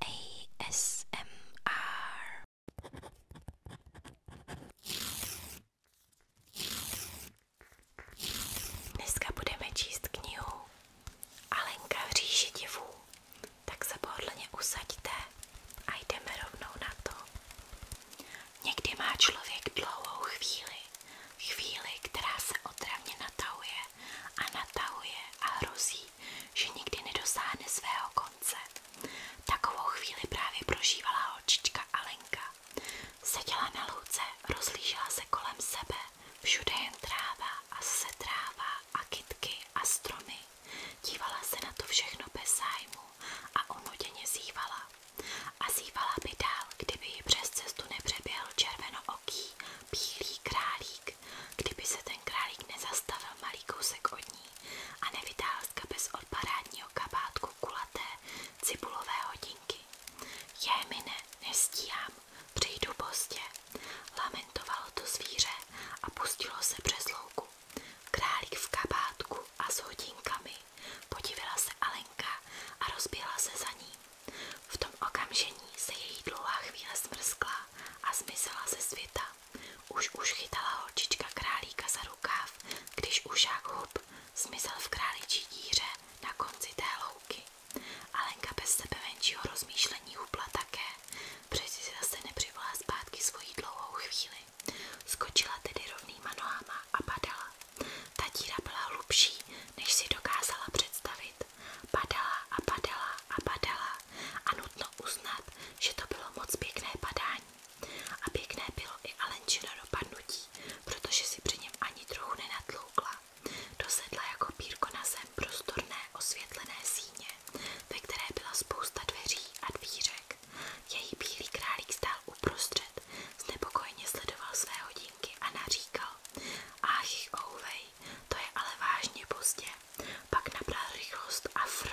ASMR. Dneska budeme číst knihu Alenka v říši tak se pohodlně usaďte a jdeme rovnou na to. Někdy má člověk dlouhou chvíli, chvíli, která se otravně natahuje a natahuje a hrozí, že nikdy nedosáhne svého konce. Takovou chvíli právě prožívala holčička Alenka. Seděla na louce, rozlížela se kolem sebe, všude jen tráva a se tráva a kytky a stromy. Dívala se na to všechno bez zájmu a unuděně zívala. A zívala by dál, kdyby ji přes cestu nepřeběhl červenooký, bílý králík králík. Kdyby se ten králík nezastavil malý kousek od ní a nevytáhl z kapes od parádního kabátku kulaté cibulové hodinky. je mi ne, nestíhám, přijdu pozdě. Lamentovalo to zvíře a pustilo se přes louku. Králík v kabátku a s hodinkami. Podívala se Alenka a rozběhla se za ní. V tom okamžení se její dlouhá chvíle smrskla a zmizela ze světa. Už už chytala holčička králíka za rukáv, když už jak hub zmizel v králičí díře na konci té louky. Alenka bez sebe menšího rozmýšlení hubla také, přeci si zase nepřivolá zpátky svoji dlouhou chvíli. Skočila tedy rovnýma nohama a padala. Ta díra byla hlubší, než si dokázala představit. Padala a padala a padala a nutno uznat, že to bylo moc pěkné padání. A pěkné bylo i Alenčino dopadnutí, protože si při něm ani trochu nenatloukla. Dosedla jako pírko na zem prostorné osvětlené síně, ve které byla spousta dveří a dvířek. Její bílý králík stál uprostřed, znepokojně sledoval své hodinky a naříkal. Ach, ouvej, to je ale vážně pozdě. Pak nabral rychlost a fr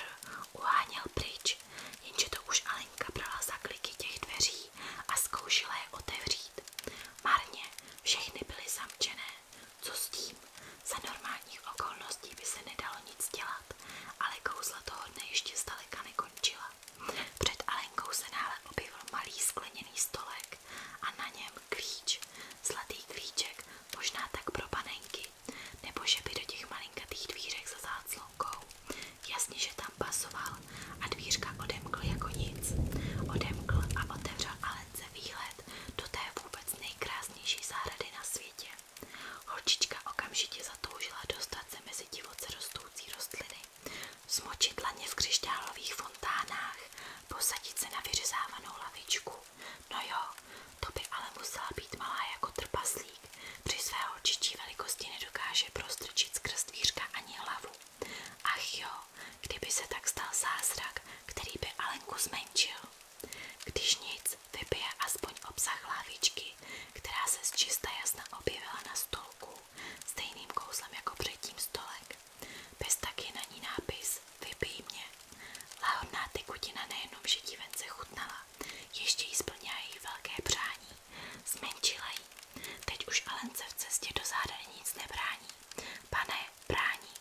uháněl pryč, jenže to už Alenka brala za kliky těch dveří a zkoušela je otevřít. Marně, všechny byly zamčené. Co s tím? Za normálních okolností by se nedalo nic dělat, ale kouzla toho dne ještě zdaleka nekončila. Před Alenkou se náhle objevil malý skleněný stolek a na něm klíč, zlatý klíček, možná tak pro panenky, nebo že by do těch malinkatých dvířek zazát slunkou. Jasně, že tam pasoval a dvířka odemkl jako nic. Odemkl a otevřel Alence výhled do té vůbec nejkrásnější zahrady na světě. Holčička okamžitě zatoužila dostat divoce rostoucí rostliny, smočit laně v křišťálových fontánách, posadit se na vyřezávanou lavičku No jo, to by ale musela být malá jako trpaslík. Při své holčičí velikosti nedokáže prostrčit skrz dvířka ani hlavu. Ach jo, kdyby se tak stal zázrak, který by Alenku zmenšil. Když nic, vypije aspoň obsah lávičky, která se zčista jasna objevila na stolku, stejným kouzlem jako předtím stolek. Bez taky na ní nápis Vypij mě. Láhodná tekutina nejenom, že ti vence ještě jí splnila její velké přání. Zmenšila jí. Teď už Alence v cestě do záda nic nebrání. Pane, brání.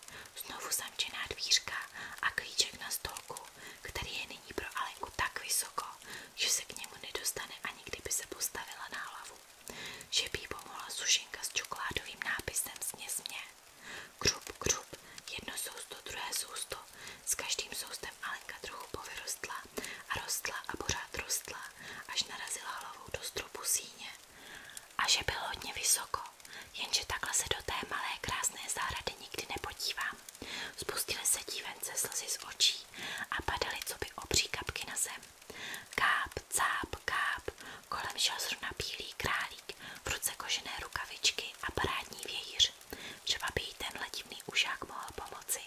Znovu zamčená dvířka a klíček na stolku, který je nyní pro Alenku tak vysoko, že se k němu nedostane ani kdyby se postavila na Že by sušinka s čokoládovým nápisem směsmě. Křup, křup, jedno sousto, druhé sousto. S každým soustem Alenka trochu povyrostla a rostla a pořád rostla, až narazila hlavou do stropu síně. A že byl hodně vysoko, jenže takhle se do té malé krásné zahrady nikdy nepodívám. Spustily se dívence slzy z očí a padaly co by obří kapky na zem. Káp, cáp, káp, kolem šel zrovna bílý král šťávík, v ruce kožené rukavičky a parádní vějíř. Třeba by jí tenhle divný ušák mohl pomoci.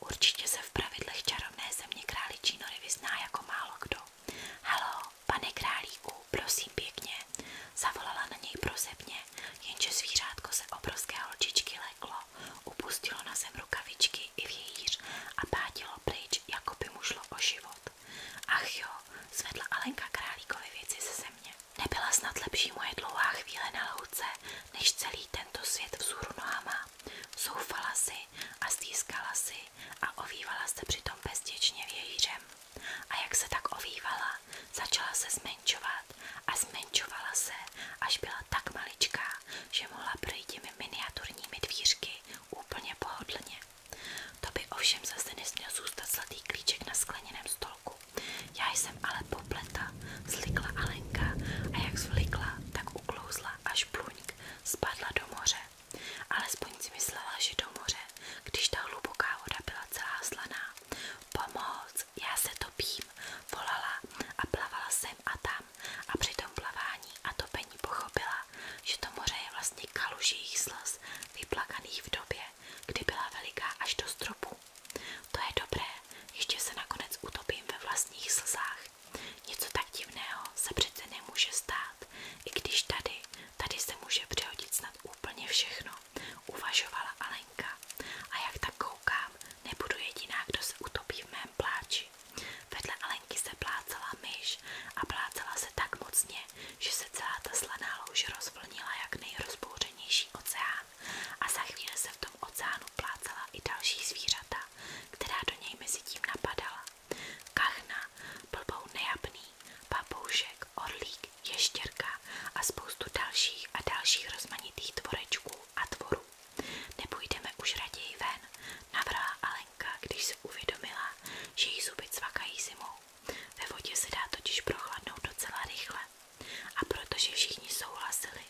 Určitě se v pravidlech čarovné země králičí nory vyzná jako málo kdo. Halo, pane králíku, prosím pěkně, zavolala na něj prosebně, jenže zvířátko se obrovské holčičky leklo, upustilo na zem rukavičky i vějíř a pátilo pryč, jako by mu šlo o život. Ach jo, zvedla Alenka králíkovi věci ze země. Nebyla snad lepší moje dlouhá chvíle na louce, než celý tento svět vzhůru nohama. Soufala si a stýskala si a ovývala se přitom bezděčně vějířem. A jak se tak ovývala, začala se zmenšovat a zmenšovala se, až byla tak maličká, že mohla projít těmi miniaturními dvířky úplně pohodlně. To by ovšem zase nesměl zůstat zlatý klíček na skleněném stolku. Já jsem ale popleta, zlikla Alenka a jak zvlikla, tak uklouzla až pluňk spadla do moře. Alespoň si myslela, že do moře, když ta hluboká voda byla celá slaná. Pomoc, já se topím, volala a plavala jsem a tam a při tom plavání a topení pochopila, že to moře je vlastně kaluž jejich slz vyplakaných v době, kdy byla veliká až do stropu. To je dobré, ještě se nakonec utopím ve vlastních slzách. Něco tak divného se přece nemůže stát, i když tady, tady se může přehodit snad úplně všechno, uvažovala Alenka. A jak tak koukám, nebudu jediná, kdo se utopí v mém pláči. Vedle Alenky se plácala myš a plácala se tak mocně, hlavně, že se celá ta slaná louž rozvlnila jak nejrozbouřenější oceán a za chvíli se v tom oceánu plácala i další zvířata, která do něj mezi tím napadala. Kachna, blbou nejapný, papoušek, orlík, ještěrka a spoustu dalších a dalších rozmanitých tvorečků a tvorů. Nepůjdeme už raději ven, navrhla Alenka, když se uvědomila, že jí zuby cvakají zimou. Ve vodě se dá totiž prochladnout docela rychle. A protože všichni souhlasili,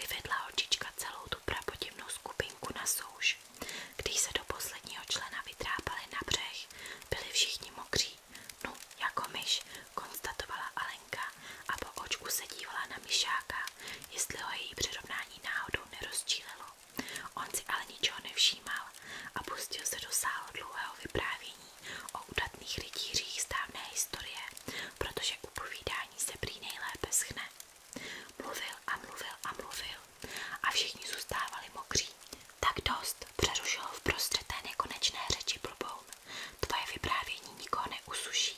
vyvedla holčička celou tu prapodivnou skupinku na souš. Když se do posledního člena vytrápali na břeh, byli všichni mokří. No, jako myš, konstatovala Alenka a po očku se dívala na myšáka, jestli ho její přirovnání náhodou nerozčílilo. On si ale ničeho nevšímal a pustil se do sálu dlouhého vyprávění o udatných rytířích z historie, protože upovídání se prý nejlépe Mluvil a mluvil a mluvil a všichni zůstávali mokří. Tak dost, přerušil v prostřed té řeči blboun. Tvoje vyprávění nikoho neusuší.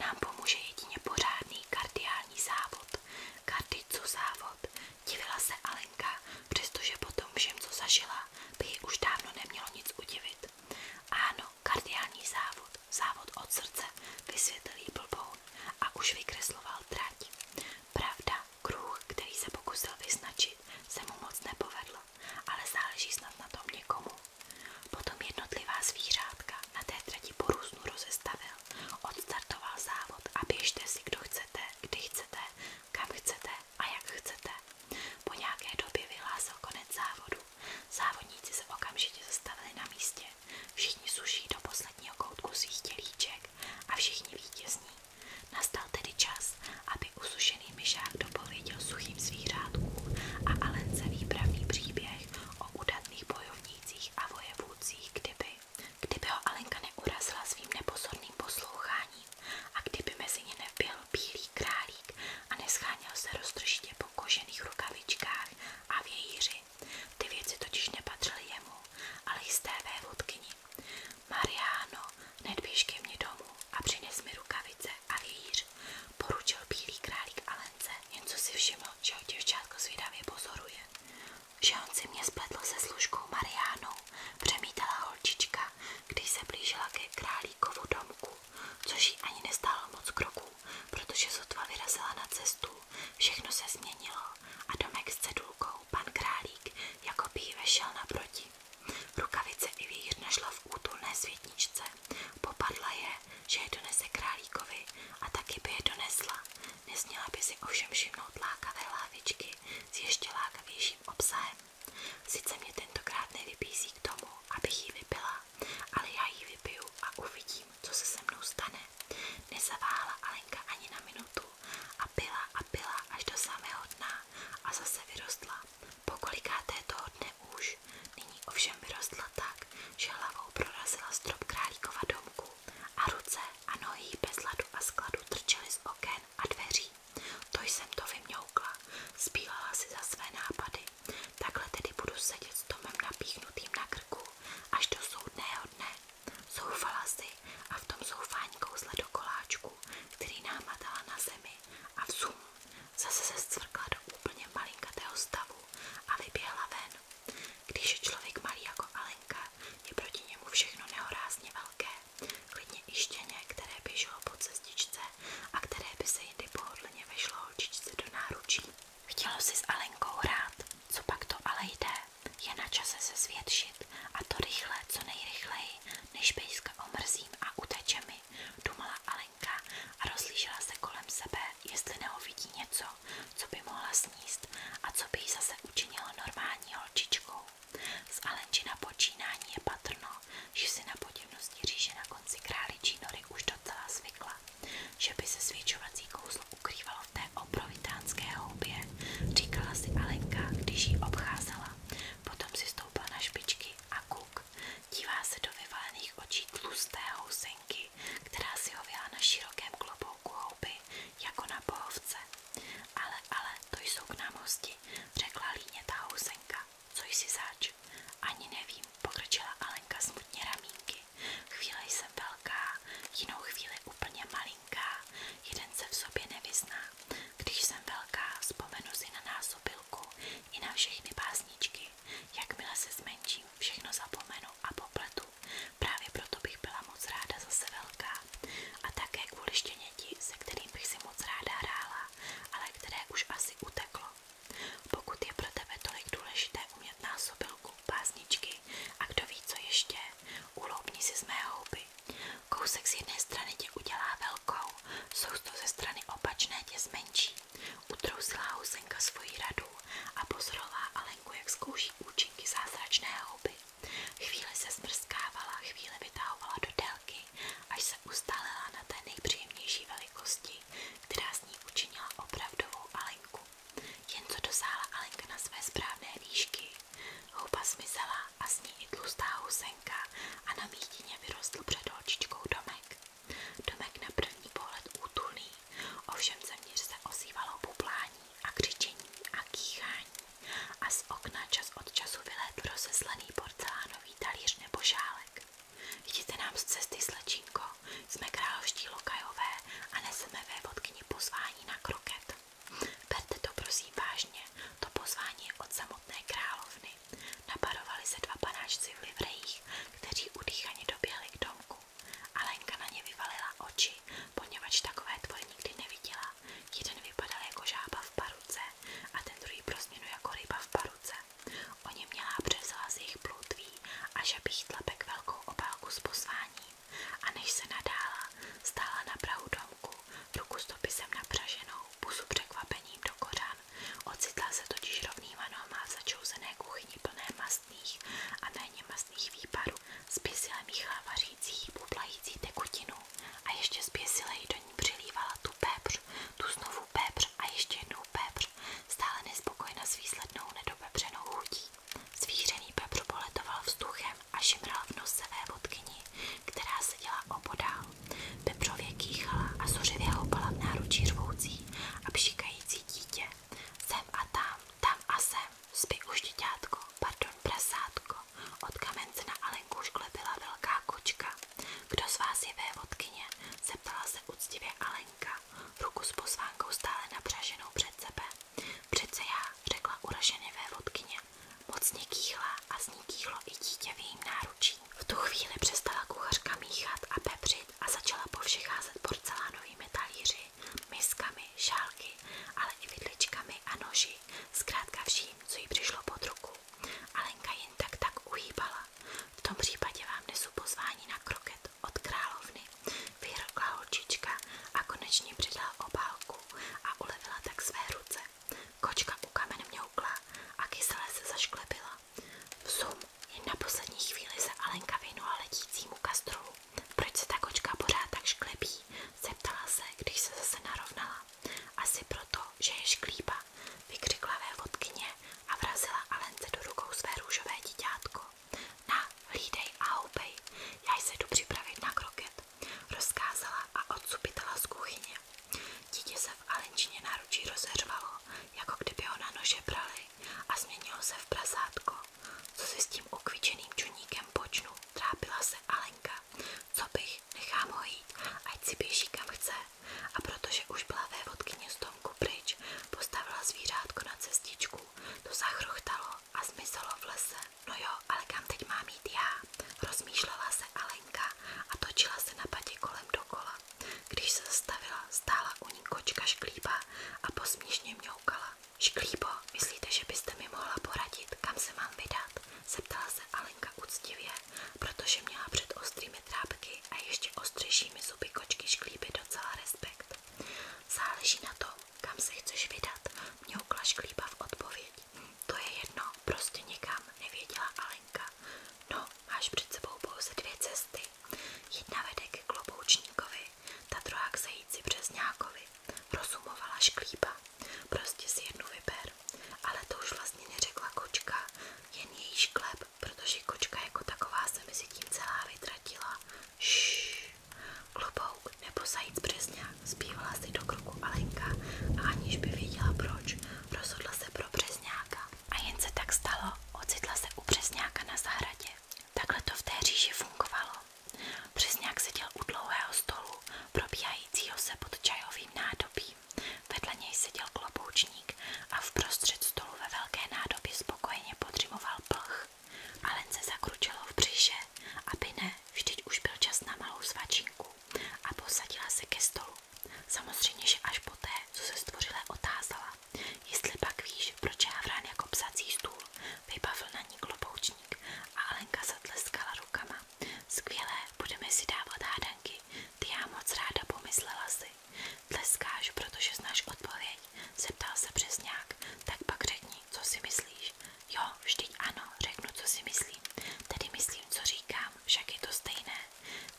Nám pomůže jedině pořádný kardiální závod. Kardicu závod. se Alenka, přestože potom všem, co Kovalerová by ji už dávno nemělo nic udivit. Ano, kardiální závod, závod od srdce, vysvětlil jí blboun a už vykresloval trať. Pravda, kruh, který se pokusil vyznačit, se mu moc nepovedl, ale záleží snad na tom někomu. Potom jednotlivá zvířátka na té trati po různu rozestavil, odstartoval závod a běžte si, kdo chcete, kdy chcete, kam chcete a jak chcete. Po nějaké době vyhlásil konec závodu. Závodníci se okamžitě zastavili na místě. Všichni suší do posledního koutku svých tělíček a všichni vítězní. Nastal tedy čas, aby usušený myšák dopověděl suchým zvířátkům a Alence výpravný příběh o udatných bojovnících a vojevůdcích, kdyby, kdyby ho Alenka neurazila svým nepozorným posloucháním a kdyby mezi ně nevběhl bílý králík a nescháněl se roztržitě po kožených rukavičkách a vějíři. Ty věci totiž nepatřily jemu, ale jisté stévé vodkyni. Mariano, nedběž ke mně domů a přines mi rukavice a vějíř. Poručil bílý králík Alence, jen co si všiml, že ho děvčátko zvědavě pozoruje. Že on si mě spletl se služkou Mariánou, přemítala holčička, když se blížila ke králíkovu domku, což jí ani nestálo moc kroků, protože sotva vyrazila na cestu, všechno se změnilo a domek s cedulkou pan králík jako by jí vešel naproti. Rukavice i vír našla v útulné světničce, popadla je, že je donese králíkovi a taky by je donesla. Nesměla by si ovšem všimnout lákavé lávičky s ještě lákavějším obsahem. Sice mě tentokrát nevybízí k tomu, abych ji vypila, ale já ji vypiju a uvidím, co se se mnou stane. Nezavála Alenka ani na minutu a pila a pila až do samého dna a zase vyrostla. Pokolikáté toho dne už, nyní ovšem vyrostla tak, že hlavou prorazila strop králíkova domku a ruce a nohy bez ladu a skladu trčely z oken a dveří stačí. To jsem to vymňoukla, spílala si za své nápady. Takhle tedy budu sedět s Tomem napíchnutým na krku až do soudného dne. Zoufala si a v tom zoufání kouzle do koláčku, který námatala na zemi a vzum zase se zcvrkla do úplně malinkatého stavu a vyběhla ven. Když je člověk malý jako Alenka, je proti němu všechno nehorázně velké klidně i štěně, které běželo po cestičce a které by se jindy pohodlně vešlo do náručí. Chtělo si s Alenkou hrát, co pak to ale jde, je na čase se zvětšit a to rychle, co nejrychleji, než pejska omrzím a uteče dumala Alenka a rozlížela se kolem sebe, jestli neovidí něco, co by mohla sníst a co by jí zase učinilo normální holčičkou. Z Alenčina počínání je patrno, že si na poděvnosti říže na konci králičí nory už docela zvykla, že by se svědčovací kouzlo ukrývalo v té obrovitánské houbě, říkala si Alenka, když ji obcházela. Potom si stoupila na a kuk. Dívá se do vyvalených očí tlusté housenky, která si hověla na širokém klobouku houby, jako na pohovce. Ale, ale, to jsou k nám řekla líně ta housenka. Alenka, co jsi zač? Ani nevím, pokrčila Alenka smutně ramínky. Chvíli jsem velká, jinou chvíli úplně malinká, jeden se v sobě nevyzná. Když jsem velká, vzpomenu si na násobilku i na všechny básničky. Jakmile se zmenším, všechno zapomenu a popletu. Právě proto bych byla moc ráda zase velká. A také kvůli štěněti, se kterým bych si moc ráda hrála ale které už asi uteklo. Pokud je pro tebe tolik důležité umět násobilku, pásničky a kdo ví co ještě, uloupni si z Kousek z jedné strany tě udělá velkou, sousto ze strany opačné tě zmenší. Utrousila housenka svoji radu a pozorová Alenku, jak zkouší účinky zázračné houby. Chvíli se smrskávala, chvíli vytahovala do délky, ruky, až se ustálila na té nejpříjemnější velikosti, která z ní učinila opravdovou Alenku. Jen co dosáhla Alenka na své správné výšky, houba zmizela a s ní i tlustá husenka a na mítině vyrostl před holčičkou domek. Domek na první pohled útulný, ovšem zeměř se ozývalo bublání a křičení a kýchání a z okna čas od času vylétl rozeslený porcelán nový talíř nebo šálek. Vidíte nám z cesty slečinko, jsme královští lokajové a neseme vévodkyni pozvání na kroket. Berte to prosím vážně, to pozvání je od samotné královny. Naparovali se dva panáčci v livrejích, kteří udýchaně doběhli k domku. Alenka na ně vyvalila oči, poněvadž takové tvoje nikdy neviděla. Jeden vypadal jako žába v paruce a ten druhý pro změnu jako ryba v paruce. O něm měla převzala z jejich plutví a žabých tlapek velkou obálku s pozváním a než se nadála, stála na prahu domku, ruku s dopisem napřaženou, pusu překvapením do kořan. Ocitla se totiž rovnýma nohama v začouzené kuchyni plné mastných a méně mastných výparů. Zběsile míchala vařící, bublající tekutinu a ještě zběsile jí do ní přilívala tu tu znovu pepř a ještě jednou pepř, stále nespokojena s výslednou nedopepřenou chutí. Zvířený pepř poletoval vzduchem a šimral v nosové vodkyni, která seděla opodál. Pepřově kýchala a zuřivě houpala v náručí řvoucí a pšikající dítě. Sem a tam, tam a sem, spí už děťátko, pardon prasátko. Od kamence na Alenku už velká kočka. Kdo z vás je vévodkyně? Zeptala se úctivě Alenka, ruku s pozvánkou stále napřaženou před sebe. Přece já, řekla uraženě vévodkyně. Mocně kýchla a z ní kýchlo i dítě v jejím náručí. V tu chvíli přestala kuchařka míchat a pepřit a začala po všech házet porcelánovými talíři, miskami, šálky, ale i vidličkami a noži, zkrátka vším, co jí přišlo pod ruku. Alenka jen tak tak V tom případě vám nesu na kroket od královny, vyhrkla holčička a konečně přidala obálku a ulevila tak své ruce. Kočka u kamen mňoukla a kysele se zašklepila. V sum jen na poslední se Alenka věnula letícímu kastrolu. Proč se ta kočka pořád tak šklepí? Zeptala se, když se zase narovnala. Asi proto, že je šklípa, Lenka, vykřikla vévodkyně a vrazila Alence do rukou své růžové díťátko. Na, hlídej a houpej, já se jdu na kroket, rozkázala a odsupitala z kuchyně. Dítě se v Alenčině náručí rozeřvalo, jako kdyby ho na nože brali a změnilo se v prasátko. Co si s tím ukvičeným čuníkem počnu, trápila se Alenka. Co bych, nechám jít, ať si běží kam chce a protože už byla vévodkyně stonku pryč, postavila zvířátko na cestičku, to zachrochtalo a zmizelo v lese. No jo, ale kam teď mám jít já? Rozmýšlela se Alenka a točila se na patě kolem dokola. Když se zastavila, stála u ní kočka šklíba a posměšně mňoukala. Šklíbo, myslíte, že byste mi mohla poradit, kam se mám vydat? Zeptala se Alenka úctivě protože měla před ostrými trápky a ještě ostřejšími zuby kočky šklíby docela respekt. Záleží na tom, kam se chceš vydat, mňoukla šklíba v odpověď. To je jedno, prostě nikam, nevěděla Alenka. No, máš před sebou pouze dvě cesty. Jedna vede k kloboučníkovi, ta druhá k zajíci přes Rozumovala šklíba. Prostě si jednu vyber super. Ale to už vlastně neřekla kočka, jen její šklep, protože kočka jako taková se mezi tím celá vytratila. Šš, klobouk nebo zajíc přesně, zpívala si do kroku Alenka a aniž by věděla proč, rozhodla se pro přesňáka. A jen se tak stalo, ocitla se u přesňáka na zahradě. Takhle to v té říži fungovalo. Přesňák seděl u dlouhého stolu, probíhajícího se pod čajovým nádobím. Vedle něj seděl kloboučník a vprostřed stolu ve velké nádobě spokojeně podřimoval plch. Alen se zakručilo v břiše, aby ne, vždyť už byl čas na malou svačinku a posadila se ke stolu. Samozřejmě, že až poté, co se stvořile otázala, jestli pak víš, proč je Havran jako psací stůl, vybavil na ní kloboučník a Alenka zatleskala rukama. Skvělé, budeme si dávat hádanky. Ty já moc ráda pomyslela si. Tleskáš, protože znáš odpověď. Zeptal se přesňák. Tak pak řekni, co si myslíš. Jo, vždyť ano, řeknu, co si myslím. Tedy myslím, co říkám, však je to stejné.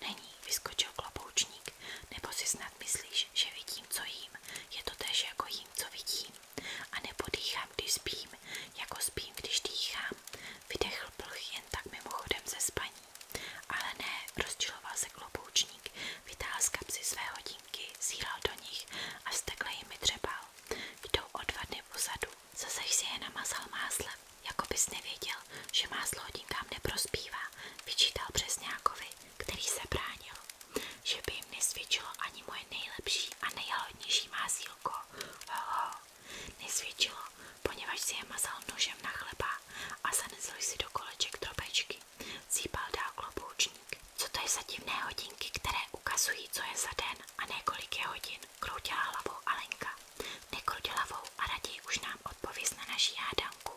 Není, vyskočil kloboučník. Nebo si snad myslíš, že vidím, co jím. Je to tež jako jím, co vidím. A nebo dýchám, když spím, jako spím, když dýchám. Vydechl plch jen tak mimochodem ze spaní. Ale ne, rozčiloval se kloboučník, vytáhl z kapsy své hodinky, zíral do nich a vztekle jimi dřebal. Jdou o dva dny pozadu, zase si je namazal máslem, jako bys nevěděl, že máslo hodinkám neprospívá, vyčítal Přesňákovi, který se bránil. Že by jim nesvědčilo ani moje nejlepší a nejhalodnější másílko. Hoho. Nesvědčilo, poněvadž si je mazal nožem na chleba a zanezl si do koleček drobečky. Cípal dál kloboučník. Co to je za divné hodinky, které ukazují, co je za den a nekolik je hodin, kroutila hlavou Alenka. Nekroutila hlavou a raději už nám odpověz na naši hádanku,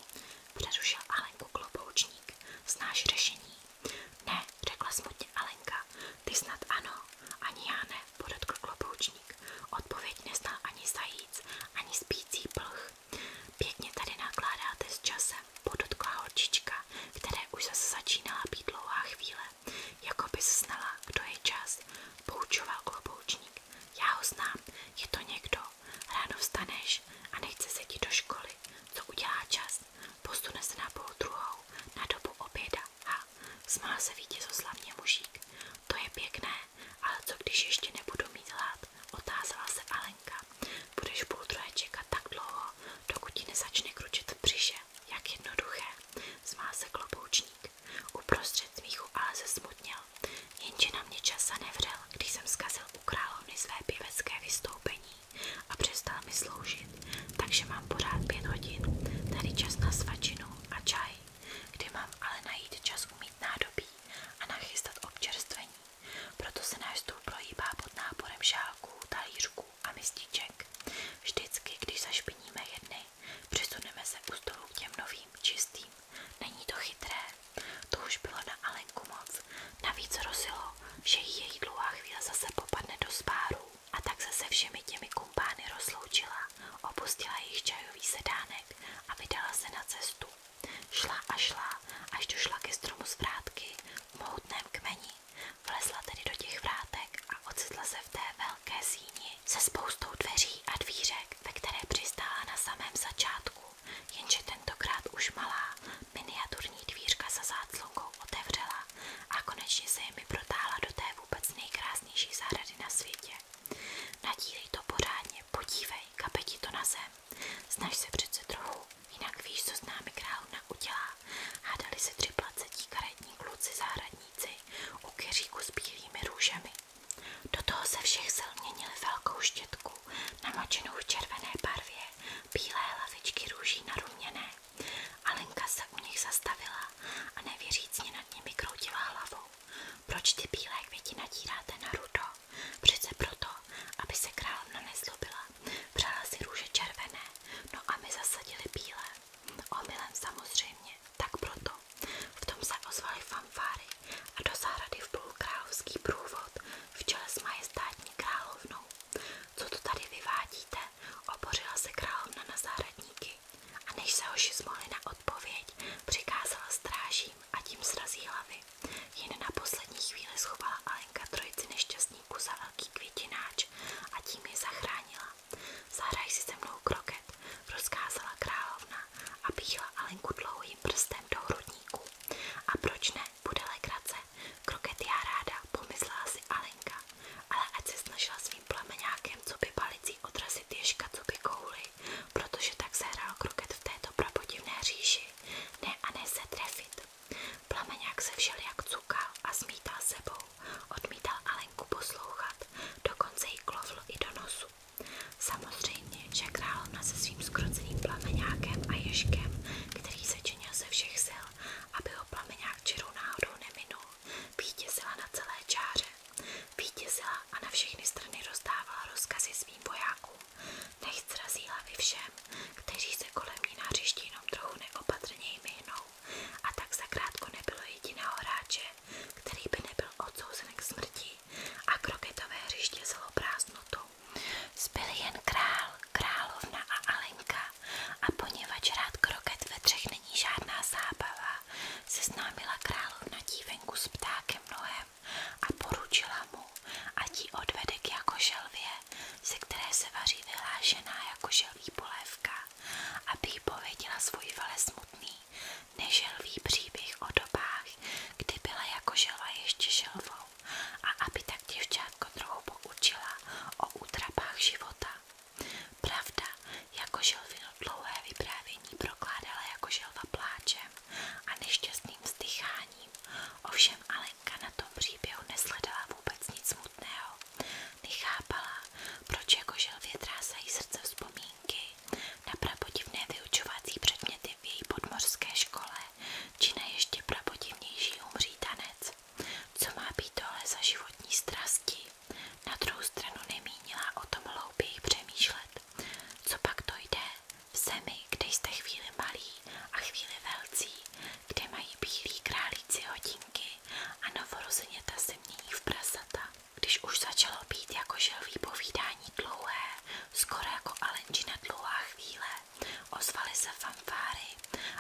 přerušil Alenku kloboučník. Znáš řešení? Ne, řekla smutně Alenka. Ty snad ano, ani já ne podotkl kloboučník. Odpověď nezná ani zajíc, ani spící plch. Pěkně tady nakládáte s časem, podotkla holčička, které už zase začínala být dlouhá chvíle. Jako bys znala, kdo je čas, poučoval kloboučník. Já ho je to někdo. Ráno vstaneš a nechce se do školy. Co udělá čas? Posune se na druhou, na dobu oběda. Ha, smál se vítězoslavně mužík. To je pěkné, ale co když ještě nebudu mít hlad? Otázala se Alenka. Budeš půl druhé čekat tak dlouho, dokud ti nezačne kručit břiše. Jak jednoduché, zmál se kloboučník. Uprostřed smíchu ale se smutněl, jenže na mě čas zanevřel, když jsem zkazil u královny své pěvecké vystoupení a přestal mi sloužit, takže mám pořád pět hodin, tady čas na svačinu a čaj kdy mám ale najít čas umít nádobí a nachystat občerstvení, proto se náš stůl prohýbá pod náporem šálků, talířků a mističek. Vždycky, když zašpiníme jedny, přesuneme se u stolu těm novým, čistým. Není to to už bylo na Alenku moc, navíc rozilo, že její dlouhá chvíle zase popadne do spáru a tak se všemi těmi kumpány rozloučila, opustila jejich čajový sedánek a vydala se na cestu. Šla a šla, až došla ke stromu z vrátky v mohutném kmeni. Vlezla tedy do těch vrátek a ocitla se v té velké síni se spoustou dveří a dvířek, ve které přistála na samém začátku, jenže tentokrát už malá, miniaturní dvířka za záclonkou otevřela a konečně se jimi protáhla do té vůbec nejkrásnější zahrady na světě. Nadírej to pořádně, podívej, kape ti to na zem. Snaž se přece trochu, jinak víš, co s námi královna udělá. Hádali se tři placetí karetní kluci zahradníci u keříku s bílými růžemi. Do toho se všech sil měnili velkou štětku, namačenou v červené barvě, bílé hlavičky růží naruměné. Alenka se u nich zastavila a nevěřícně nad nimi kroutila hlavou. Proč ty bílé květi natíráte na rudo? Přece proto, aby se královna nezlobila. Přála si růže červené, no a my zasadili bílé. Omylem samozřejmě, tak proto. V tom se ozvaly fanfáry a do zahrady vplul královský průvod v čele s majestátní královnou. Co to tady vyvádíte? Opořila se královna na zahradníky. A než se hoši zmohli na odpověď, přikázala strážím a tím srazí hlavy. Jen na poslední chvíli schovala Alenka trojici nešťastníků za velký květináč a tím je zachránila. Zahraj si se mnou kroket, rozkázala královna a píchla Alenku dlouhým prstem do hrudníku. A proč ne, bude legrace, kroket já ráda, pomyslela si Alenka, ale ať se snažila svým plameňákem, co by palicí odrazit ježka, co by kouli, protože tak se hrál v této prapodivné říši, ne a ne se trefit. Plameňák se všel jak cukal a zmítal sebou, odmítal Alenku poslouchat, dokonce ji klovl i do nosu. Samozřejmě, že královna se svým skroceným plameňákem a ježkem, který se ze všech sil, aby ho plameňák čirou náhodou neminul, vítězila na celé čáře. Vítězila a na všechny strany rozdávala rozkazy svým vojákům. Nech srazí hlavy všem, kteří se kolem ní na hřišti jenom trochu neopatrněji myhnou. A tak zakrátko nebylo jediného hráče, který by nebyl odsouzen k smrti a kroketové hřiště zelo prázdnotou. Zbyl jen král, královna a Alenka a poněvadž rád kroket ve třech není žádná zábava, seznámila královna dívek venku s ptákem nohem a poručila mu, a ji odvede k jako želvě, ze které se vaří vyhlášená jako želví polévka, aby jí pověděla svůj vele smutný, neželví příběh o dobách, kdy byla jako želva ještě želvou a aby tak děvčátko trochu poučila o útrapách života. Pravda, jako želvy jedno dlouhé vyprávění prokládala jako želva pláčem a nešťastným vzdycháním. Ovšem Alenka na tom příběhu nesledala vůbec nic smutného. Nechápala, proč jako želvě trásají srdce vzpomínky na prapodivné vyučovací předměty v její podmořské škole či na ještě prapodivnější umří Co má být tohle za životní strasti? Na druhou stranu nemínila o tom hlouběji přemýšlet co pak dojde v zemi, kde jste chvíli malí a chvíli velcí, kde mají bílí králíci hodinky a novorozeněta se mění v prasata. Když už začalo být jako želví povídání dlouhé, skoro jako alenčina dlouhá chvíle, ozvaly se fanfáry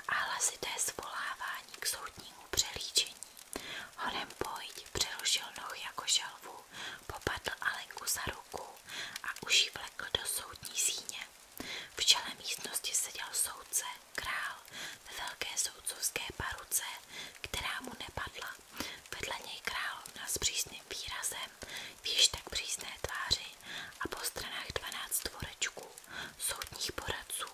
a hlasité zvolávání k soudnímu přelíčení. Honem pojď přerušil noh jako žalvu, popadl Alenku za ruku a už ji vlekl do soudní síně. V čele místnosti seděl soudce, král, ve velké soudcovské paruce, která mu nepadla. Vedle něj královna s přísným výrazem, víš tak přísné tváři a po stranách 12 tvorečků, soudních poradců.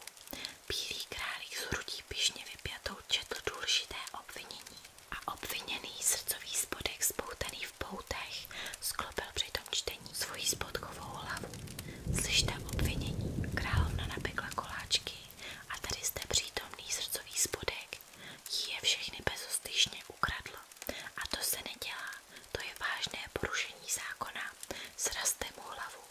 Bílý králík z hrudí pišně vypjatou četl důležité obvinění a obviněný srdcový spodek spoutaný v poutech sklopil při tom čtení svoji spodkovou hlavu. Slyšte obvinění, královna napekla koláčky a tady zde přítomný srdcový spodek je všechny bezostyšně ukradl. A to se nedělá, to je vážné porušení zákona. Srazte mu hlavu.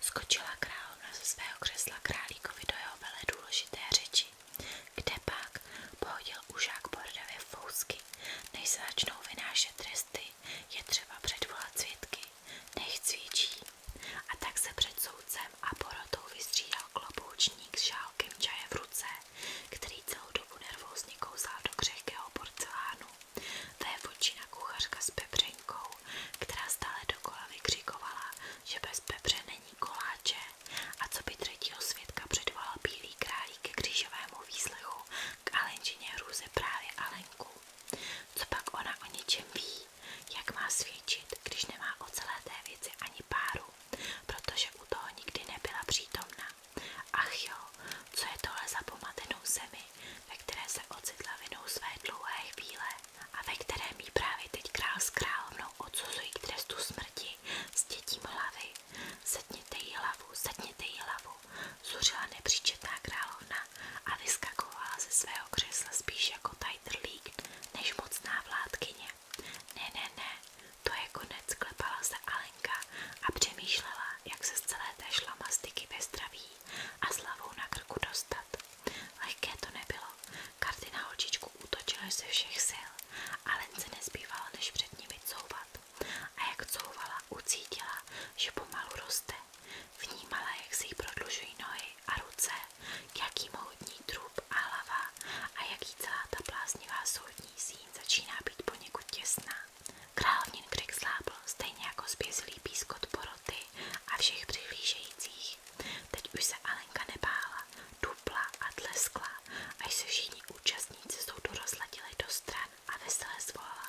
Skočila královna ze svého křesla králíkovi do jeho vele důležité řeči. Kdepak pohodil užák bordavě fousky, než se tresty, je třeba předvolat svědky, nech cvičí. A tak se před soudcem a porotou vystřídal kloboučník s šálkem čaje v ruce, který celou dobu nervózně kousal do křehkého porcelánu. Vévočina kuchařka s pepřenkou, která stále dokola vykřikovala, že bez pepře není koláče, a co by třetího svědka předvolal bílý králík ke křížovému výslechu k Alenčině hrůze právě Alenku. Co pak ona o něčem ví? Jak má svědčit, když nemá o celé té věci ani páru? Protože u toho nikdy nebyla přítomna. Ach jo, co je tohle za pomatenou zemi, ve které se ocitla vinou své dlouhé chvíle? a ve kterém ji právě teď král s královnou odsuzují k trestu smrti s dětím hlavy. Sedněte jí hlavu, sedněte jí hlavu, zuřila nepříčetná královna a vyskakovala ze svého křesla spíš jako tajtrlík než mocná vládkyně. Ne, ne, ne, to je konec, klepala se Alenka a přemýšlela, jak se z celé té šlamastiky ve zdraví a slavou na krku dostat. Lehké to nebylo, Karty na holčičku útočily ze všech sil a Lence nezbývalo, než před nimi couvat. A jak couvala, ucítila, že pomalu roste. Vnímala, jak si jí prodlužují nohy a ruce, jaký mohutní trup a hlava a jaký celá ta bláznivá soudní síň začíná být poněkud těsná. Královnin krik slábl, stejně jako zbězilý pískot poroty a všech přihlížejících. Teď už se Alenka nebála, dupla a tleskla, až se všichni účastníci soudu rozladili do stran a veselé zvolala.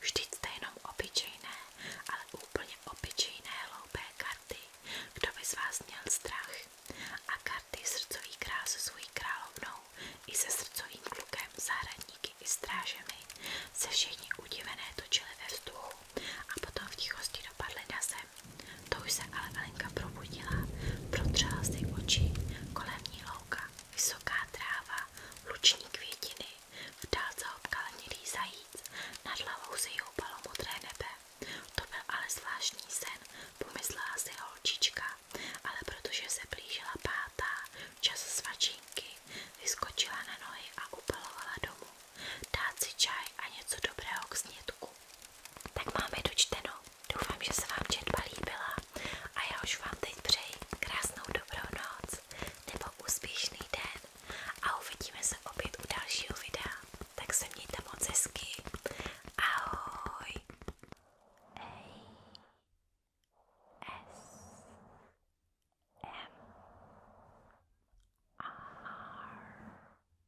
Vždyť jste jenom obyčejné, ale úplně obyčejné hloupé karty, kdo by z strach. A karty srdcový král se královnou i se srdcovým klukem, zahradníky i strážemi se všichni udivené točili ve vzduchu a potom v tichosti dopadly na zem. To se ale Alenka probudila, protřela si oči, kolem ní louka, vysoká tráva, luční květiny, v dálce obkala mělý zajíc, nad hlavou se joupalo modré nebe. To byl ale zvláštní sen, pomyslela si holčička, ale protože se blížila pátá, čas svačinky, vyskočila na nohy a upalovala domů. Dát čaj a něco dobrého k snědku. Tak máme dočteno. Doufám, že se vám četba líbila a já už vám teď přeji krásnou dobrou noc nebo úspěšný den a uvidíme se opět u dalšího videa. Tak se mějte moc hezky. Ahoj! A S M R